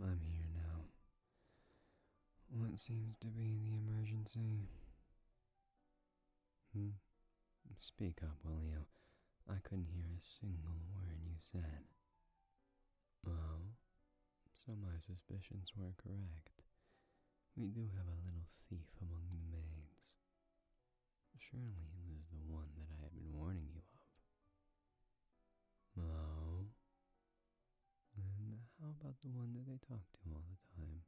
I'm here now. What seems to be the emergency? Hmm? Speak up, will you? I couldn't hear a single word you said. Oh? So my suspicions were correct. We do have a little thief among the maids. Surely it was the one that I had been warning you of. Oh? And how about the one that they talk to all the time?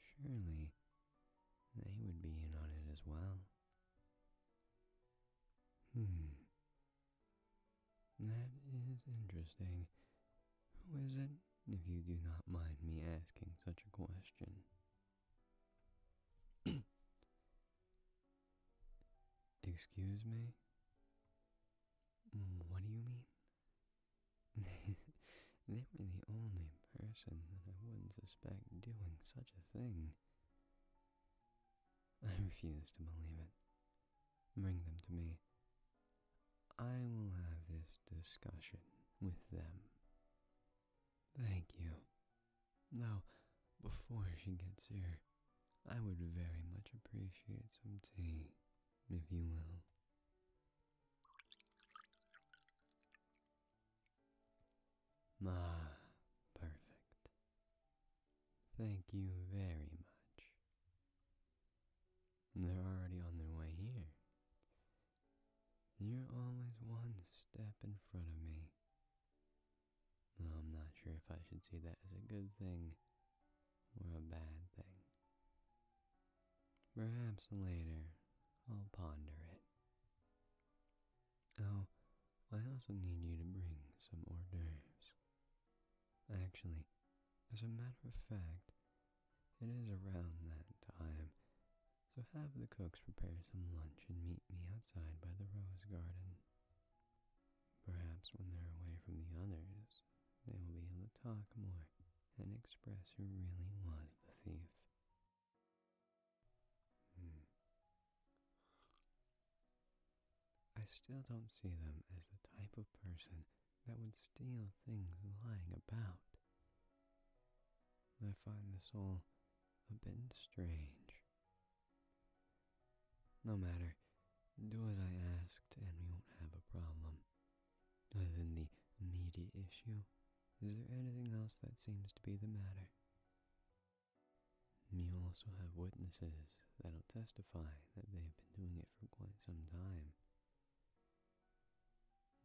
Surely they would be in on it as well. Hmm. That is interesting. Who is it, if you do not mind me asking such a question? Excuse me? Mm, what do you mean? they were the only person that I wouldn't suspect doing such a thing. I refuse to believe it. Bring them to me, I will have this discussion with them. Thank you. Now, before she gets here, I would very much appreciate some tea, if you will. Ah, perfect. Thank you very much. They're already on their way here. You're always one step in front of me. I'm not sure if I should see that as a good thing or a bad thing. Perhaps later I'll ponder it. Oh, I also need you to bring some hors d'oeuvres. Actually, as a matter of fact, it is around that time, so have the cooks prepare some lunch and meet me outside by the rose garden. Perhaps when they're away from the others, they will be able to talk more and express who really was the thief. Hmm. I still don't see them as the type of person that would steal things lying about. I find this all a bit strange. No matter, do as I asked and we won't have a problem. Other than the meaty issue, is there anything else that seems to be the matter? We also have witnesses that'll testify that they have been doing it for quite some time.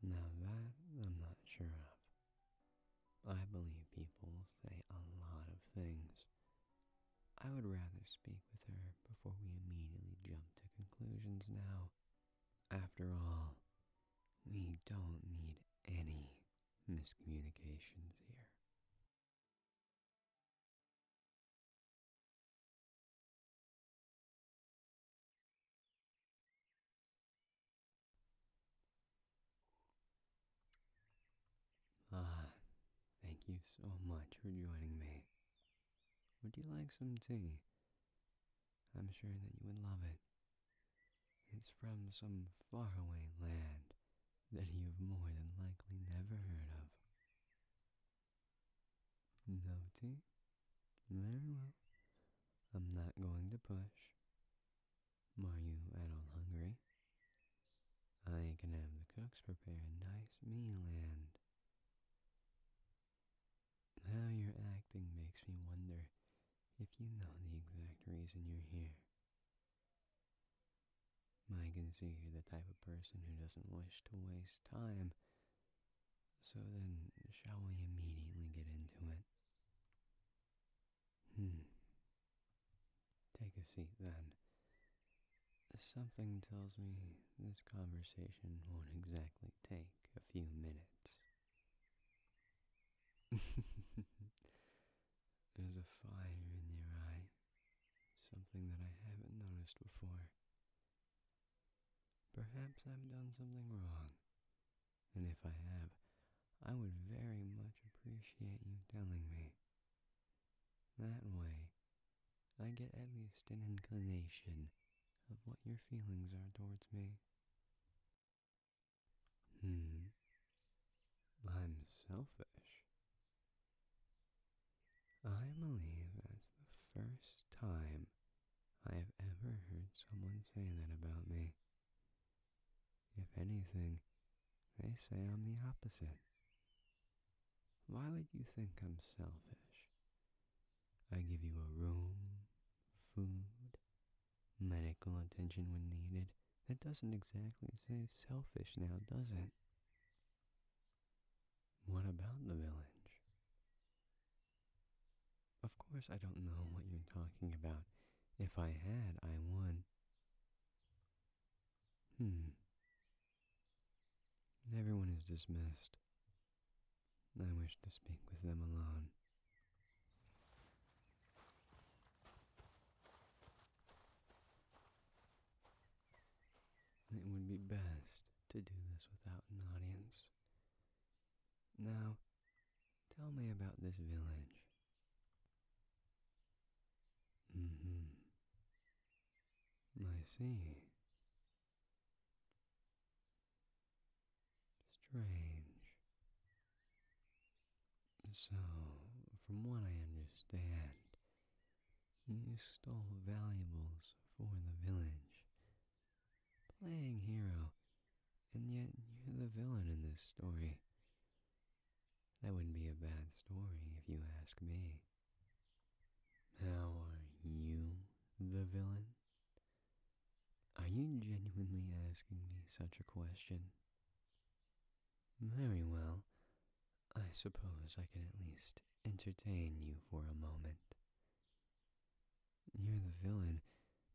Now that I'm not sure of. I believe people say a lot of things. I would rather speak with her before we immediately jump to conclusions now. After all, we don't need any miscommunications here. Ah, thank you so much for joining me. Would you like some tea? I'm sure that you would love it. It's from some faraway land that you've more than likely never heard of. Naughty. Very well. I'm not going to push. Are you at all hungry? I can have the cooks prepare a nice meal and... How you're acting makes me wonder if you know the exact reason you're here. I can see you're the type of person who doesn't wish to waste time so then, shall we immediately get into it? Hmm. Take a seat then. Something tells me this conversation won't exactly take a few minutes. There's a fire in your eye, something that I haven't noticed before. Perhaps I've done something wrong, and if I have, I would very much appreciate you telling me. That way, I get at least an inclination of what your feelings are towards me. Hmm. I'm selfish. I believe that's the first time I have ever heard someone say that about me. If anything, they say I'm the opposite. Why would you think I'm selfish? I give you a room, food, medical attention when needed. That doesn't exactly say selfish now, does it? What about the village? Of course, I don't know what you're talking about. If I had, I would. Hmm. Everyone is dismissed. I wish to speak with them alone. It would be best to do this without an audience. Now, tell me about this village. Mm hmm. I see. Strange. So, from what I understand, you stole valuables for the village. Playing hero, and yet you're the villain in this story. That wouldn't be a bad story if you ask me. How are you the villain? Are you genuinely asking me such a question? Very well, I suppose I can at least entertain you for a moment. You're the villain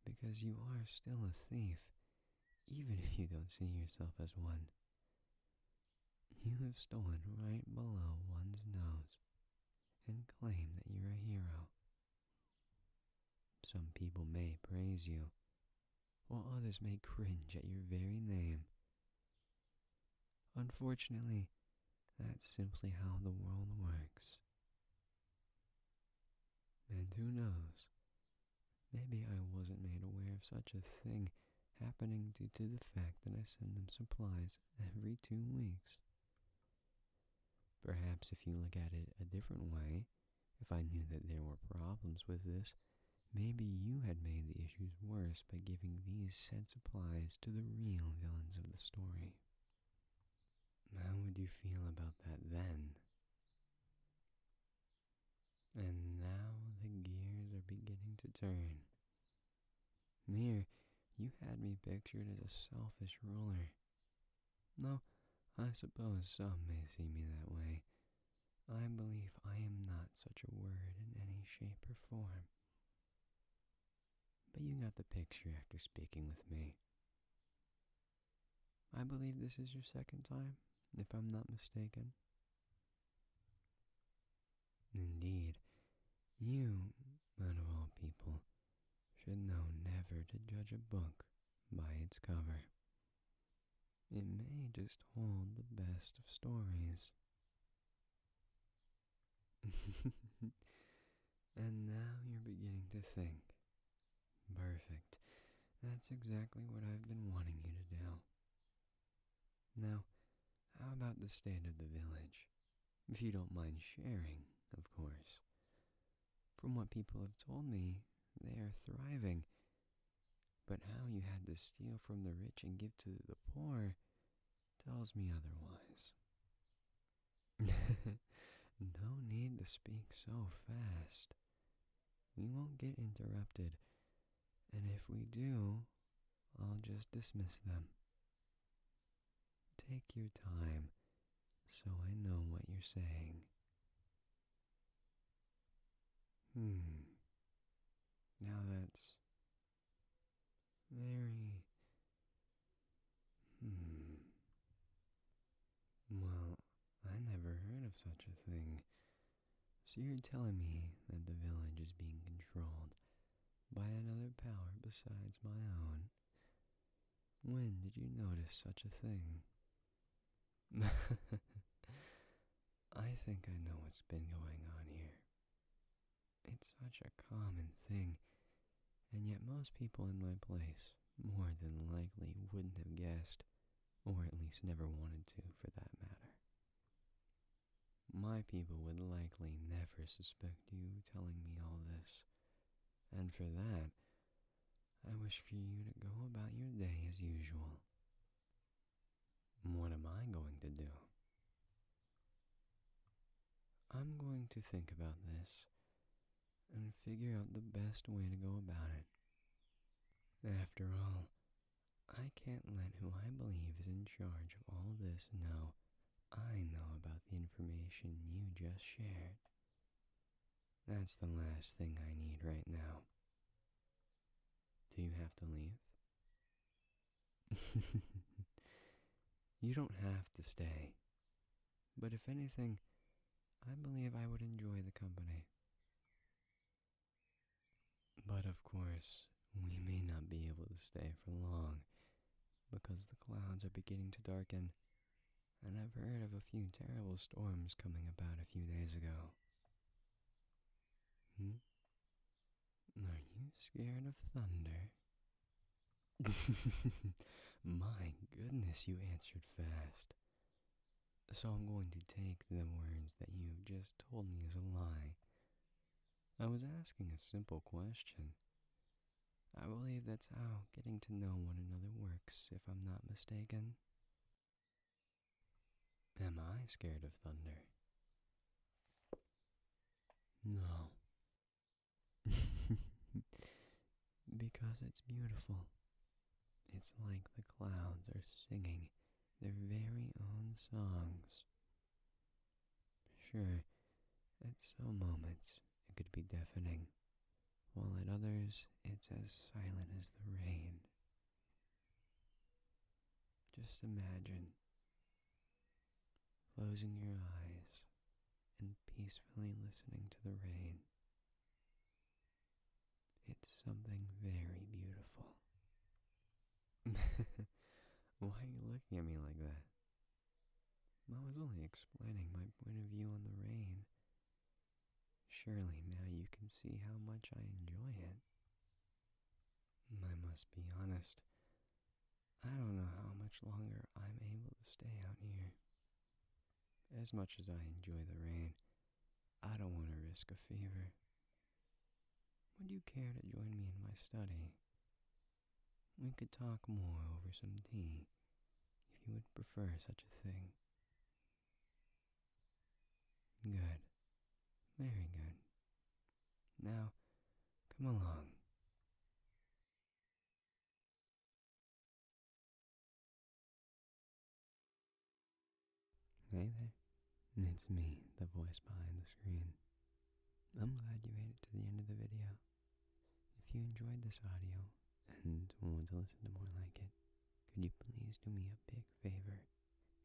because you are still a thief, even if you don't see yourself as one. You have stolen right below one's nose and claim that you're a hero. Some people may praise you while others may cringe at your very name. Unfortunately, that's simply how the world works. And who knows, maybe I wasn't made aware of such a thing happening due to the fact that I send them supplies every two weeks. Perhaps if you look at it a different way, if I knew that there were problems with this, Maybe you had made the issues worse by giving these said supplies to the real villains of the story. How would you feel about that then? And now the gears are beginning to turn. Here, you had me pictured as a selfish ruler. No, I suppose some may see me that way, I believe I am not such a word in any shape or form. But you got the picture after speaking with me. I believe this is your second time, if I'm not mistaken. Indeed, you, out of all people, should know never to judge a book by its cover. It may just hold the best of stories. and now you're beginning to think. Perfect. That's exactly what I've been wanting you to do. Now, how about the state of the village? If you don't mind sharing, of course. From what people have told me, they are thriving but how you had to steal from the rich and give to the poor tells me otherwise. no need to speak so fast. We won't get interrupted, and if we do, I'll just dismiss them. Take your time so I know what you're saying. Hmm. Now that's very. Hmm. Well, I never heard of such a thing. So you're telling me that the village is being controlled by another power besides my own? When did you notice such a thing? I think I know what's been going on here. It's such a common thing, and yet most people in my place more than likely wouldn't have guessed, or at least never wanted to for that matter. My people would likely never suspect you telling me all this, and for that, I wish for you to go about your day as usual. What am I going to do? I'm going to think about this and figure out the best way to go about it. After all, I can't let who I believe is in charge of all this know I know about the information you just shared. That's the last thing I need right now. Do you have to leave? you don't have to stay. But if anything, I believe I would enjoy the company. But of course, we may not be able to stay for long because the clouds are beginning to darken and I've heard of a few terrible storms coming about a few days ago. Hmm? Are you scared of thunder? My goodness, you answered fast. So I'm going to take the words that you've just told me as a lie. I was asking a simple question. I believe that's how getting to know one another works, if I'm not mistaken. Am I scared of thunder? No. because it's beautiful. It's like the clouds are singing their very own songs. Sure, at some moments it could be deafening while at others it's as silent as the rain. Just imagine closing your eyes and peacefully listening to the rain. It's something very beautiful. Why are you looking at me like that? I was only explaining my point of view on the rain Surely now you can see how much I enjoy it. I must be honest, I don't know how much longer I'm able to stay out here. As much as I enjoy the rain, I don't want to risk a fever. Would you care to join me in my study? We could talk more over some tea, if you would prefer such a thing. Good. Very good. Now, come along. Hey there. It's me, the voice behind the screen. I'm glad you made it to the end of the video. If you enjoyed this audio and want to listen to more like it, could you please do me a big favor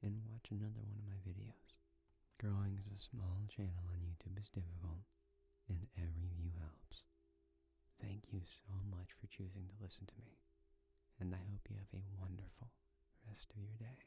and watch another one of my videos? Growing as a small channel on YouTube is difficult, and every view helps. Thank you so much for choosing to listen to me, and I hope you have a wonderful rest of your day.